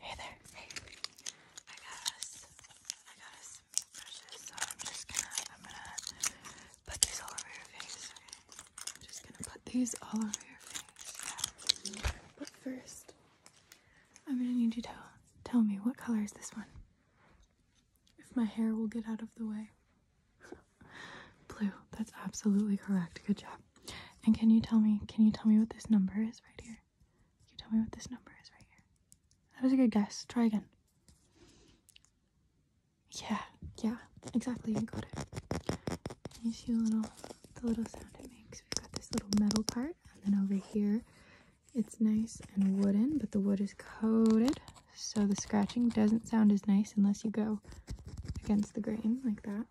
Hey there. I got some brushes, so I'm just gonna. I'm gonna put these all over your face. Okay. I'm just gonna put these all over your face. But first, I'm gonna need you to tell me what color is this one. If my hair will get out of the way. Blue. That's absolutely correct. Good job. And can you tell me, can you tell me what this number is right here? Can you tell me what this number is right here? That was a good guess. Try again. Yeah, yeah, exactly. You got it. You see the little, the little sound it makes. We've got this little metal part, and then over here, it's nice and wooden, but the wood is coated, so the scratching doesn't sound as nice unless you go against the grain like that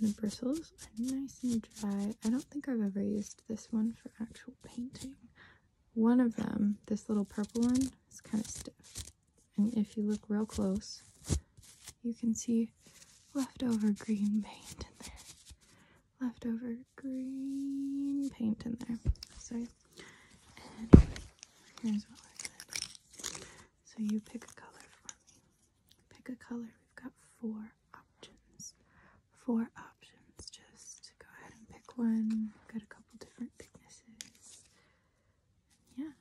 and the bristles are nice and dry. I don't think I've ever used this one for actual painting. One of them, this little purple one, is kind of stiff. And if you look real close, you can see leftover green paint in there. Leftover green paint in there. So, So you pick a color for me. Pick a color. We've got four options. Four options. Just go ahead and pick one. Got a couple different thicknesses. yeah.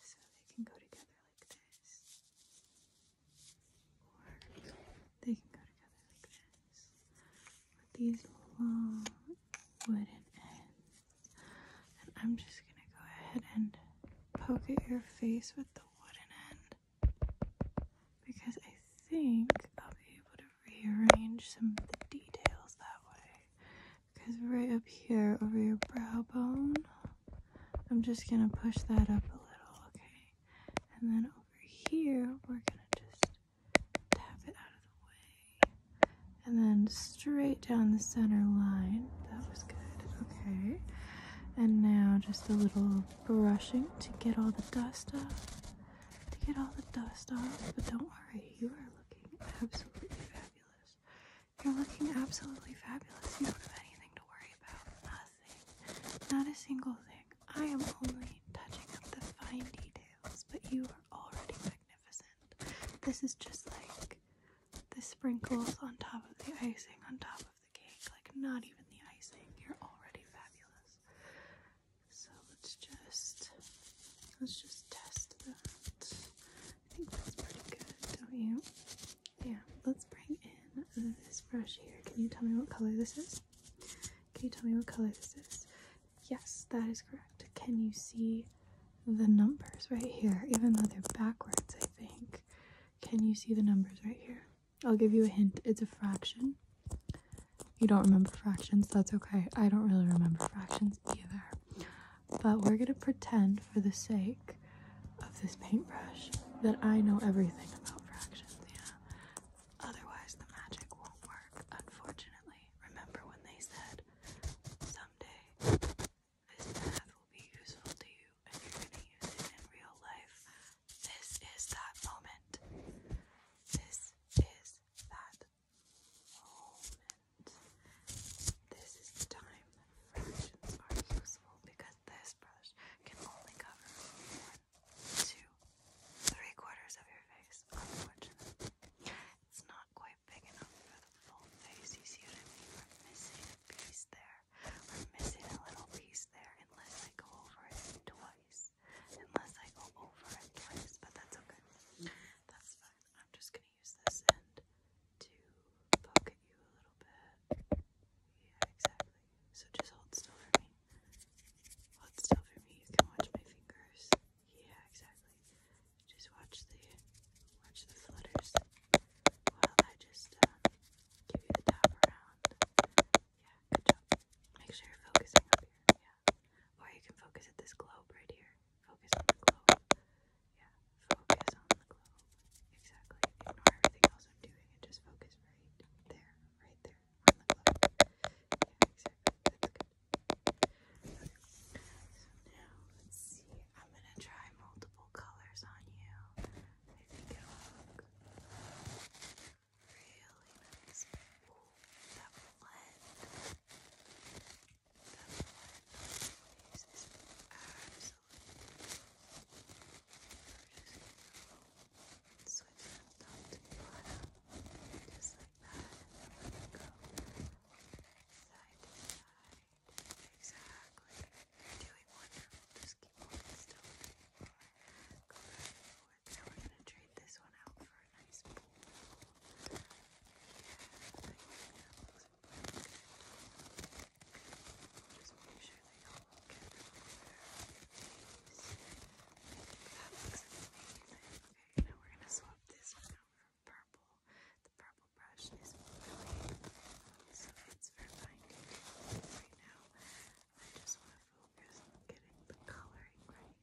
So they can go together like this. Or they can go together like this. With these long wooden ends. And I'm just going to go ahead and poke at your face with the wooden end because I think I'll be able to rearrange some of the details that way. Because right up here over your brow bone, I'm just going to push that up a little, okay? And then over here, we're going to just tap it out of the way. And then straight down the center line. That was good, okay? And now just a little brushing to get all the dust off. To get all the dust off, but don't worry, you are looking absolutely fabulous. You're looking absolutely fabulous. You don't have anything to worry about. Nothing. Not a single thing. I am only touching up the fine details, but you are already magnificent. This is just like the sprinkles on top of the icing on top of the cake. Like, not even the icing. You're already fabulous. So let's just let's just test that. I think that's pretty good, don't you? Yeah, let's bring in this brush here. Can you tell me what color this is? Can you tell me what color this is? Yes, that is correct. Can you see the numbers right here? Even though they're backwards, I think. Can you see the numbers right here? I'll give you a hint. It's a fraction. You don't remember fractions, that's okay. I don't really remember fractions either. But we're gonna pretend, for the sake of this paintbrush, that I know everything about fractions, yeah. Otherwise, the magic won't work, unfortunately. Remember when they said, someday this math will be useful to you and you're going to use it in real life. This is that moment. This is that moment. This is the time that fractions are useful because this brush can only cover one, two, three quarters of your face, unfortunately. It's not quite big enough for the full face, you see what I mean? are missing a piece there. We're missing a little piece there unless I go over it twice. Unless I go over it twice, but that's okay. That's fine. I'm just gonna use this end to poke at you a little bit. Yeah, exactly. So just hold still for me. Hold still for me. You can watch my fingers. Yeah, exactly. Just watch the watch the flutters. Well, I just uh, give you the tap around. Yeah, good job. Make sure you're focusing up here. Yeah. Or you can focus at this globe right here. Focus on the globe. Yeah, focus on the globe. Exactly. Ignore everything else I'm doing just focus right there, right there on the globe. Yeah, exactly. That's good. So now let's see. I'm gonna try multiple colors on you. I think it'll look really nice. that blend. That blend on is absolutely gorgeous. Switch from top to bottom, just like that, and then we're go side to side. Exactly. You're doing wonderful. Just keep holding still. Go Now we're going to trade this one out for a nice pool. Yeah, I that looks amazing. Okay, now we're going to swap this one for purple. The purple brush is really so it's for binding. Right now, I just want to focus on getting the coloring right.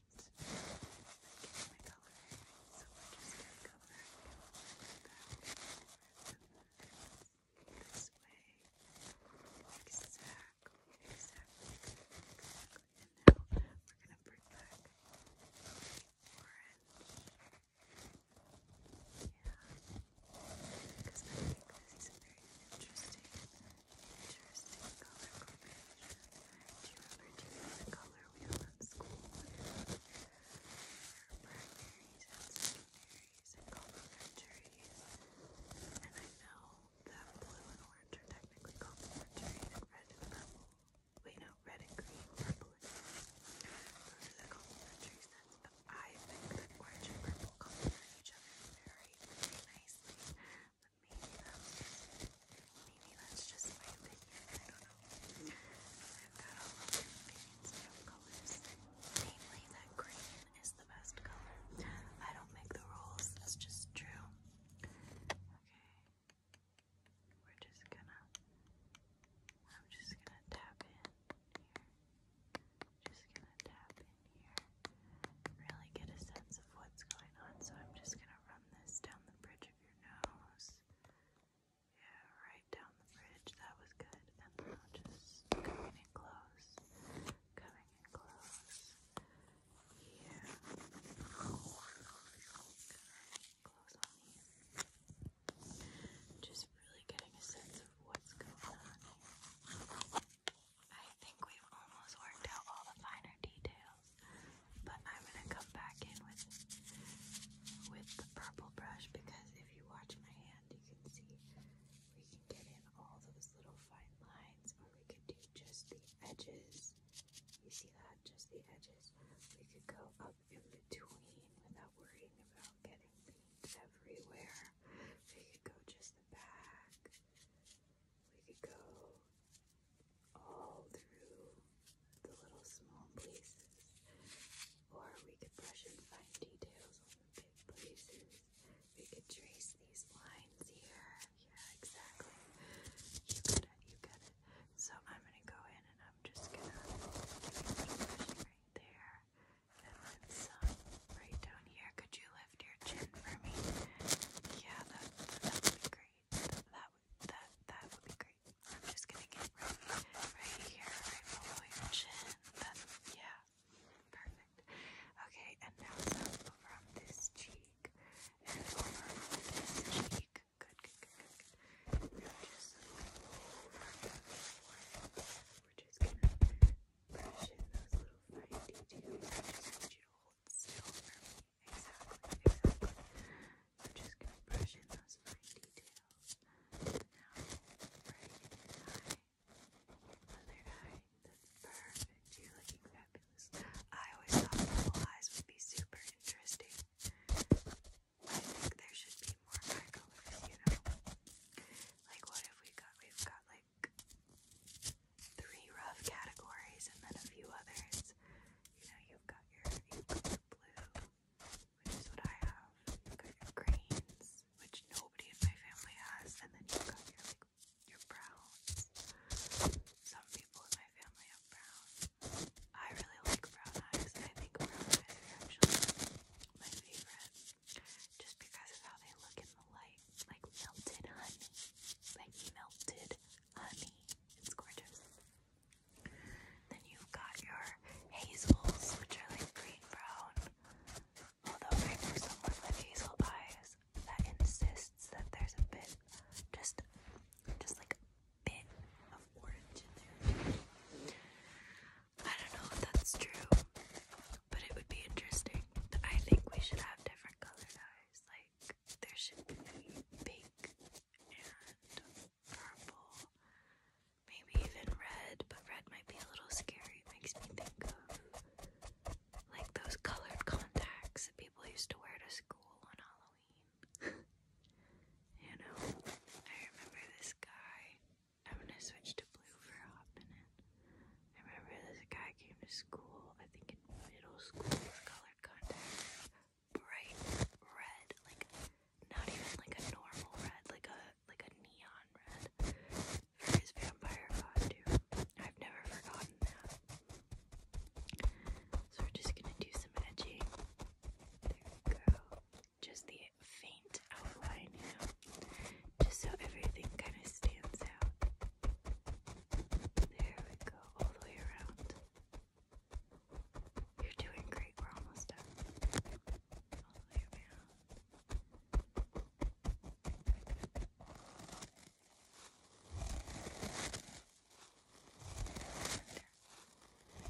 Like my coloring So just going to back this way. Exactly, exactly, And now we're going to bring back orange because I think this is very interesting, interesting color combination. Do you remember the color wheel at school? There and secondaries and complementaries. And I know that blue and orange are technically complementaries. Red and purple. Wait, no, red and green are the complementary scents, but I orange and purple complement each very, very nicely. maybe that's just, maybe that's just my opinion. I don't know. I've got all of my opinions colors. Namely, that green is the best color. I don't make the rules. That's just true. Okay. We're just gonna. I'm just gonna tap in just gonna tap in here, really get a sense of what's going on. So I'm just gonna run this down the bridge of your nose. Yeah, right down the bridge. That was good. And now just coming in close, coming in close. Yeah. close on me. Just really getting a sense of what's going on I think we've almost worked out all the finer details, but I'm gonna come back in with with the purple brush because if you watch my hand, you can see we can get in all those little fine lines, or we could do just the edges. You see that? Just the edges. We could go up up in between without worrying about getting things everywhere. We could go just the back. We could go all through the little small places. Or we could brush and find details on the big places. We could trace these lines here. Yeah, exactly. You get it, you get it. So I'm gonna go in and I'm just gonna give brushing right there. right down here. Could you lift your chin for me? Yeah, that, would be great. That would that that would be great. I'm just gonna get right, right here, right below your chin. That yeah. Perfect. Okay, and now over this cheek. And over this cheek. good. We're just gonna brush in those little fine details. I you hold still for me. Exactly, exactly. I'm just gonna brush in those fine details. Now, perfect. You're looking fabulous. I always thought purple eyes would be super interesting. I think there should be more colors, you know? Like, what if we got, we've got like three rough categories and then a few others. You know, you've got your, you've got your blue, which is what I have. You've got your greens, which nobody in my family has, and then you've got your like your browns. Some people in my family have brown. I really like brown eyes. I think brown eyes are actually my favorite, just because of how they look in the light, like melted honey, like melted honey. It's gorgeous. Then you've got your hazels, which are like green brown. Although I know someone hazel eyes that insists that there's a bit, just, just like a bit of orange in there. I don't know if that's true, but it would be interesting. I think we should have different colored eyes. Like, there should be pink and purple, maybe even red, but red might be a little scary. makes me think of like those colored contacts people used to wear to school on Halloween. You know, I remember this guy. I'm gonna switch to blue for a hot minute. I remember this guy came to school, I think in middle school, with colored contacts. Bright red, like not even like a normal red, like a like a neon red for his vampire costume. I've never forgotten that. So we're just gonna do some edging. There we go just the faint outline, just so everything kind of stands out. There we go, all the way around. You're doing great, we're almost done. All the way around. Alright,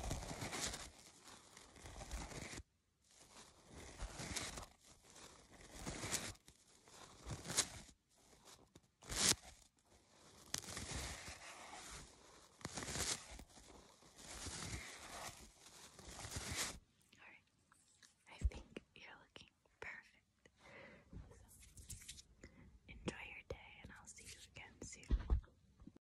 I think you're looking perfect. enjoy your day, and I'll see you again soon.